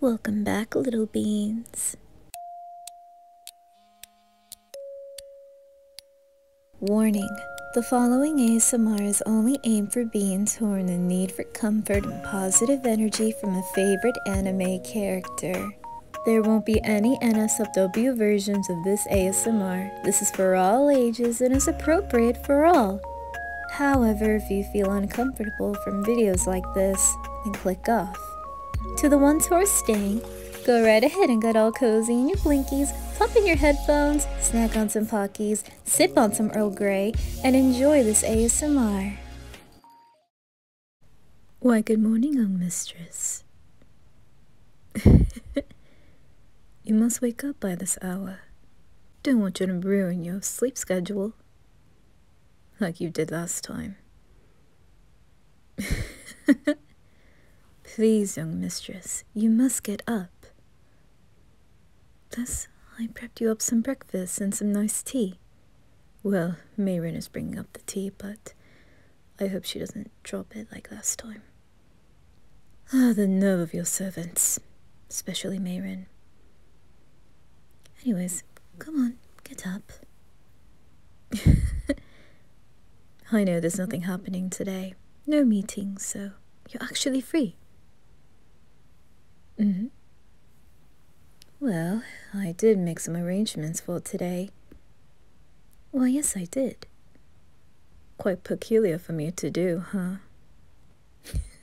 Welcome back, little beans. Warning The following ASMR is only aimed for beans who are in need for comfort and positive energy from a favorite anime character. There won't be any NSFW versions of this ASMR, this is for all ages and is appropriate for all. However, if you feel uncomfortable from videos like this, then click off. To the ones who are staying, go right ahead and get all cozy in your blinkies, pop in your headphones, snack on some Pockies, sip on some Earl Grey, and enjoy this ASMR. Why, good morning, young mistress. you must wake up by this hour. Don't want you to ruin your sleep schedule like you did last time. Please, young mistress, you must get up. Thus, I prepped you up some breakfast and some nice tea. Well, Mayrin is bringing up the tea, but I hope she doesn't drop it like last time. Ah, oh, the nerve of your servants, especially Mayrin. Anyways, come on, get up. I know there's nothing happening today. No meetings, so you're actually free. Mm hmm. Well, I did make some arrangements for today. Well, yes, I did. Quite peculiar for me to do, huh?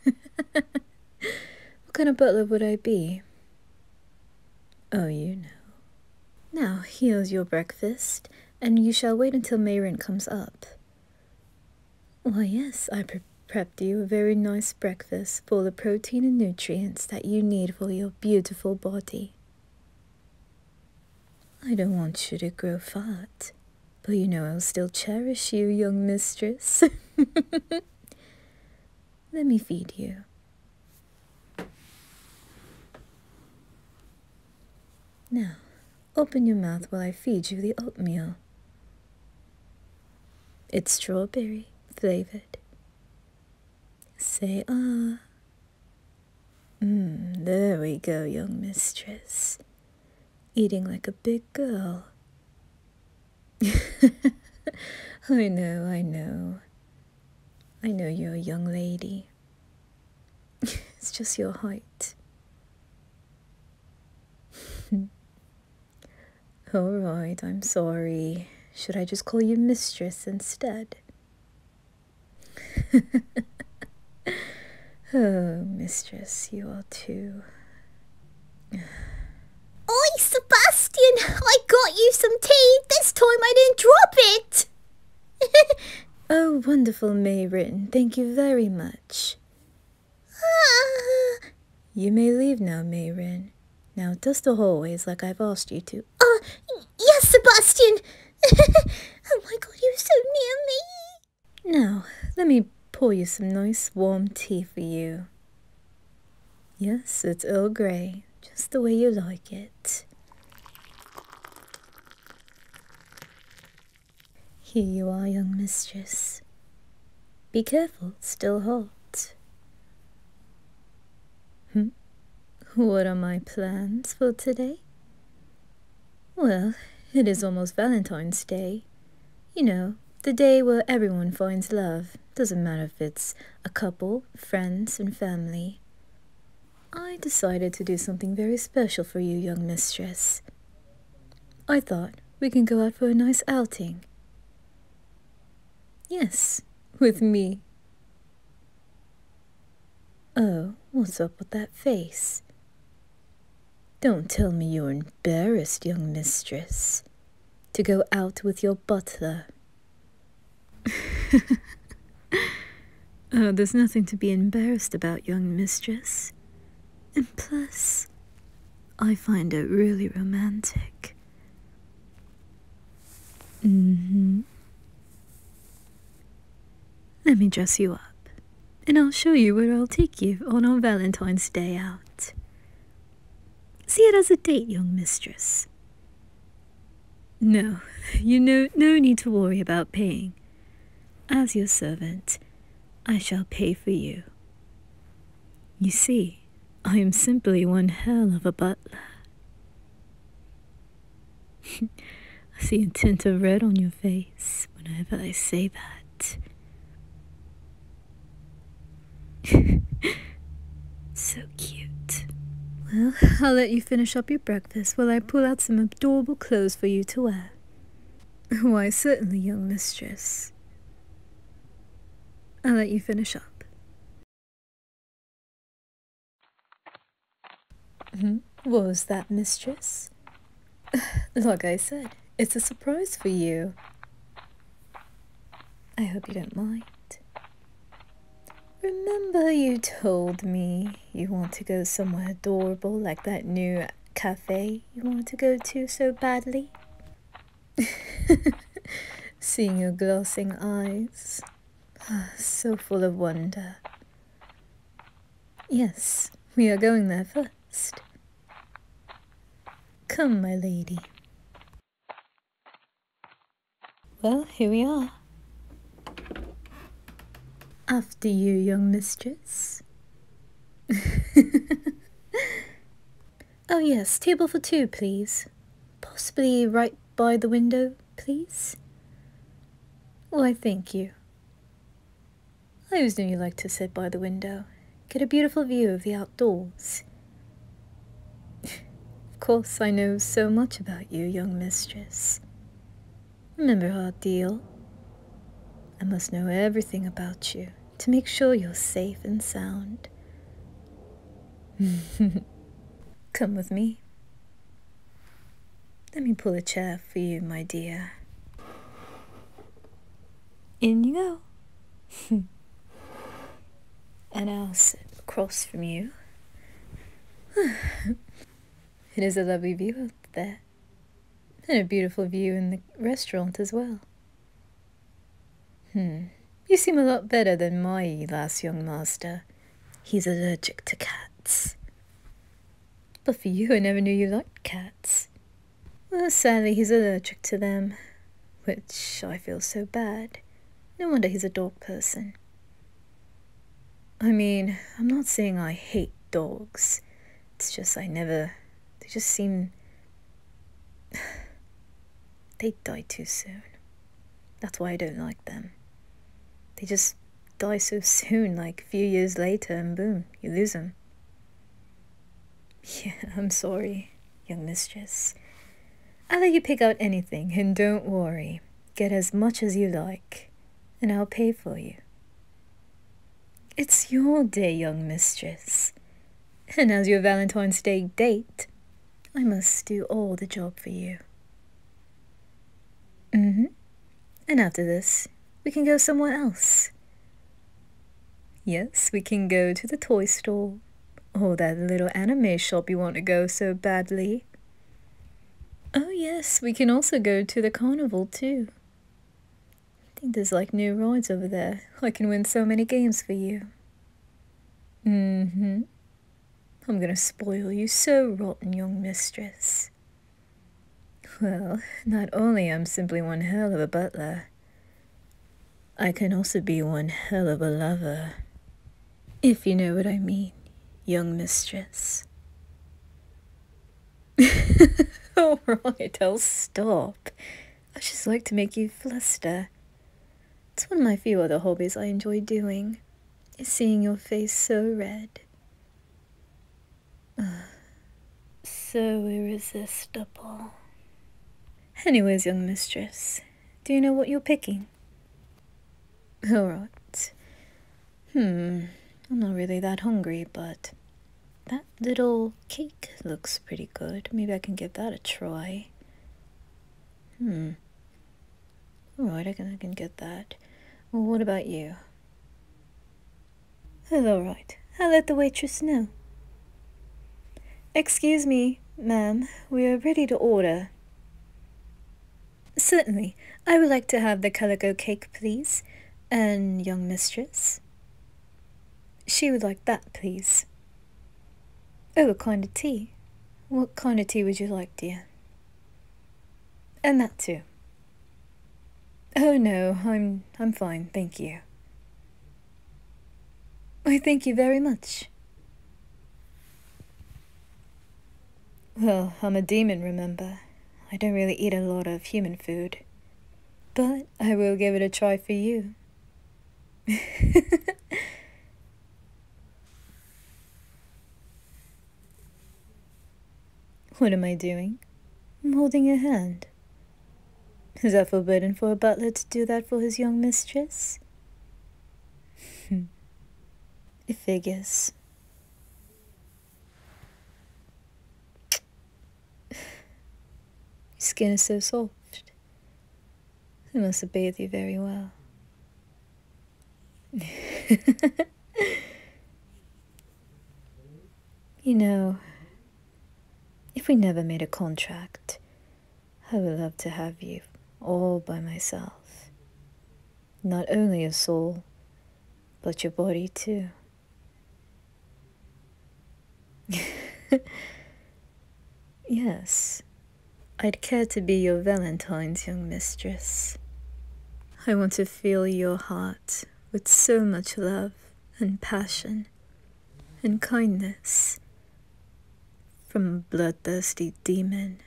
what kind of butler would I be? Oh, you know. Now, here's your breakfast, and you shall wait until Mayrant comes up. Why, yes, I prepped you a very nice breakfast full of protein and nutrients that you need for your beautiful body. I don't want you to grow fat. But you know I'll still cherish you, young mistress. Let me feed you. Now, open your mouth while I feed you the oatmeal. It's strawberry flavored. Say ah. Mm, there we go, young mistress. Eating like a big girl. I know, I know. I know you're a young lady. it's just your height. All right, I'm sorry. Should I just call you mistress instead? oh, mistress, you are too. Oh, Sebastian! I got you some tea! This time I didn't drop it! oh, wonderful, Mayrin. Thank you very much. Ah. you may leave now, Mayrin. Now dust the hallways like I've asked you to. Uh, Yes, Sebastian! oh my god, you're so near me! Now, let me pour you some nice warm tea for you. Yes, it's Earl Grey, just the way you like it. Here you are, young mistress. Be careful, still hot. Hmm? What are my plans for today? Well, it is almost Valentine's Day. You know, the day where everyone finds love. Doesn't matter if it's a couple, friends, and family. I decided to do something very special for you, young mistress. I thought we can go out for a nice outing. Yes, with me. Oh, what's up with that face? Don't tell me you're embarrassed, young mistress, to go out with your butler. oh, there's nothing to be embarrassed about, young mistress. And plus, I find it really romantic. Mm-hmm. Let me dress you up, and I'll show you where I'll take you on our Valentine's Day out. See it as a date, young mistress. No, you know, no need to worry about paying. As your servant, I shall pay for you. You see, I am simply one hell of a butler. I see a tint of red on your face whenever I say that. so cute. Well, I'll let you finish up your breakfast while I pull out some adorable clothes for you to wear. Why, certainly, young mistress. I'll let you finish up. Hmm? was that, mistress? like I said, it's a surprise for you. I hope you don't mind. Remember you told me you want to go somewhere adorable like that new cafe you want to go to so badly? Seeing your glossing eyes, Ah, so full of wonder. Yes, we are going there first. Come, my lady. Well, here we are. After you, young mistress. oh yes, table for two, please. Possibly right by the window, please? Why, thank you. I always knew you liked to sit by the window, get a beautiful view of the outdoors. of course, I know so much about you, young mistress. Remember our deal? I must know everything about you to make sure you're safe and sound. Come with me. Let me pull a chair for you, my dear. In you go. and I'll sit across from you. it is a lovely view out there, and a beautiful view in the restaurant as well. Hmm. You seem a lot better than my last young master. He's allergic to cats. But for you, I never knew you liked cats. Well, sadly, he's allergic to them, which I feel so bad. No wonder he's a dog person. I mean, I'm not saying I hate dogs. It's just I never. They just seem. They die too soon. That's why I don't like them. They just die so soon, like a few years later, and boom, you lose them. Yeah, I'm sorry, young mistress. I'll let you pick out anything, and don't worry. Get as much as you like, and I'll pay for you. It's your day, young mistress. And as your Valentine's Day date, I must do all the job for you. Mm hmm. And after this, we can go somewhere else. Yes, we can go to the toy store. Or that little anime shop you want to go so badly. Oh, yes, we can also go to the carnival too. I think there's like new rides over there. I can win so many games for you. Mm hmm. I'm gonna spoil you so rotten, young mistress. Well, not only am simply one hell of a butler, I can also be one hell of a lover. If you know what I mean, young mistress. Oh, Alright, I'll stop. I just like to make you fluster. It's one of my few other hobbies I enjoy doing, is seeing your face so red. Uh, so irresistible. Anyways, young mistress, do you know what you're picking? All right. Hmm, I'm not really that hungry, but that little cake looks pretty good. Maybe I can give that a try. Hmm. Alright, I can, I can get that. Well, what about you? alright. I'll let the waitress know. Excuse me, ma'am. We are ready to order. Certainly. I would like to have the calico cake, please. And young mistress. She would like that, please. Oh, a kind of tea. What kind of tea would you like, dear? And that too. Oh no, I'm I'm fine, thank you. I thank you very much. Well, I'm a demon, remember. I don't really eat a lot of human food. But I will give it a try for you. what am I doing? I'm holding your hand. Is that forbidden for a butler to do that for his young mistress? it figures. Your skin is so soft. I must have bathed you very well. you know, if we never made a contract, I would love to have you all by myself. Not only your soul, but your body too. yes, I'd care to be your Valentine's young mistress. I want to fill your heart with so much love and passion and kindness from a bloodthirsty demon.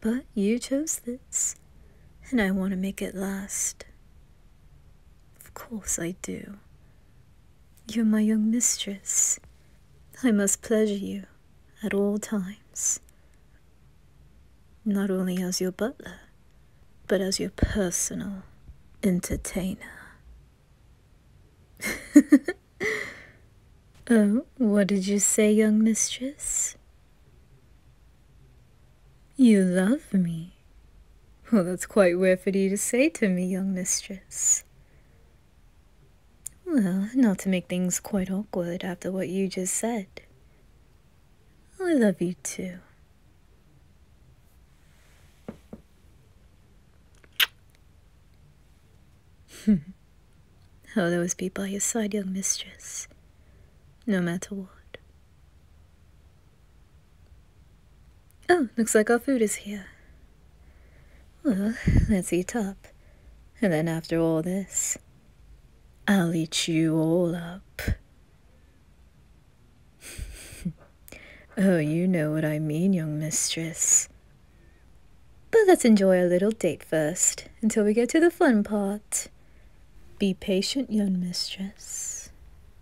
But you chose this, and I want to make it last. Of course I do. You're my young mistress. I must pleasure you at all times. Not only as your butler, but as your personal entertainer. oh, what did you say, young mistress? You love me. Well, that's quite rare for you to say to me, young mistress. Well, not to make things quite awkward after what you just said. I love you too. I'll always oh, be by your side, young mistress, no matter what. Oh, looks like our food is here. Well, let's eat up. And then after all this, I'll eat you all up. oh, you know what I mean, young mistress. But let's enjoy a little date first, until we get to the fun part. Be patient, young mistress.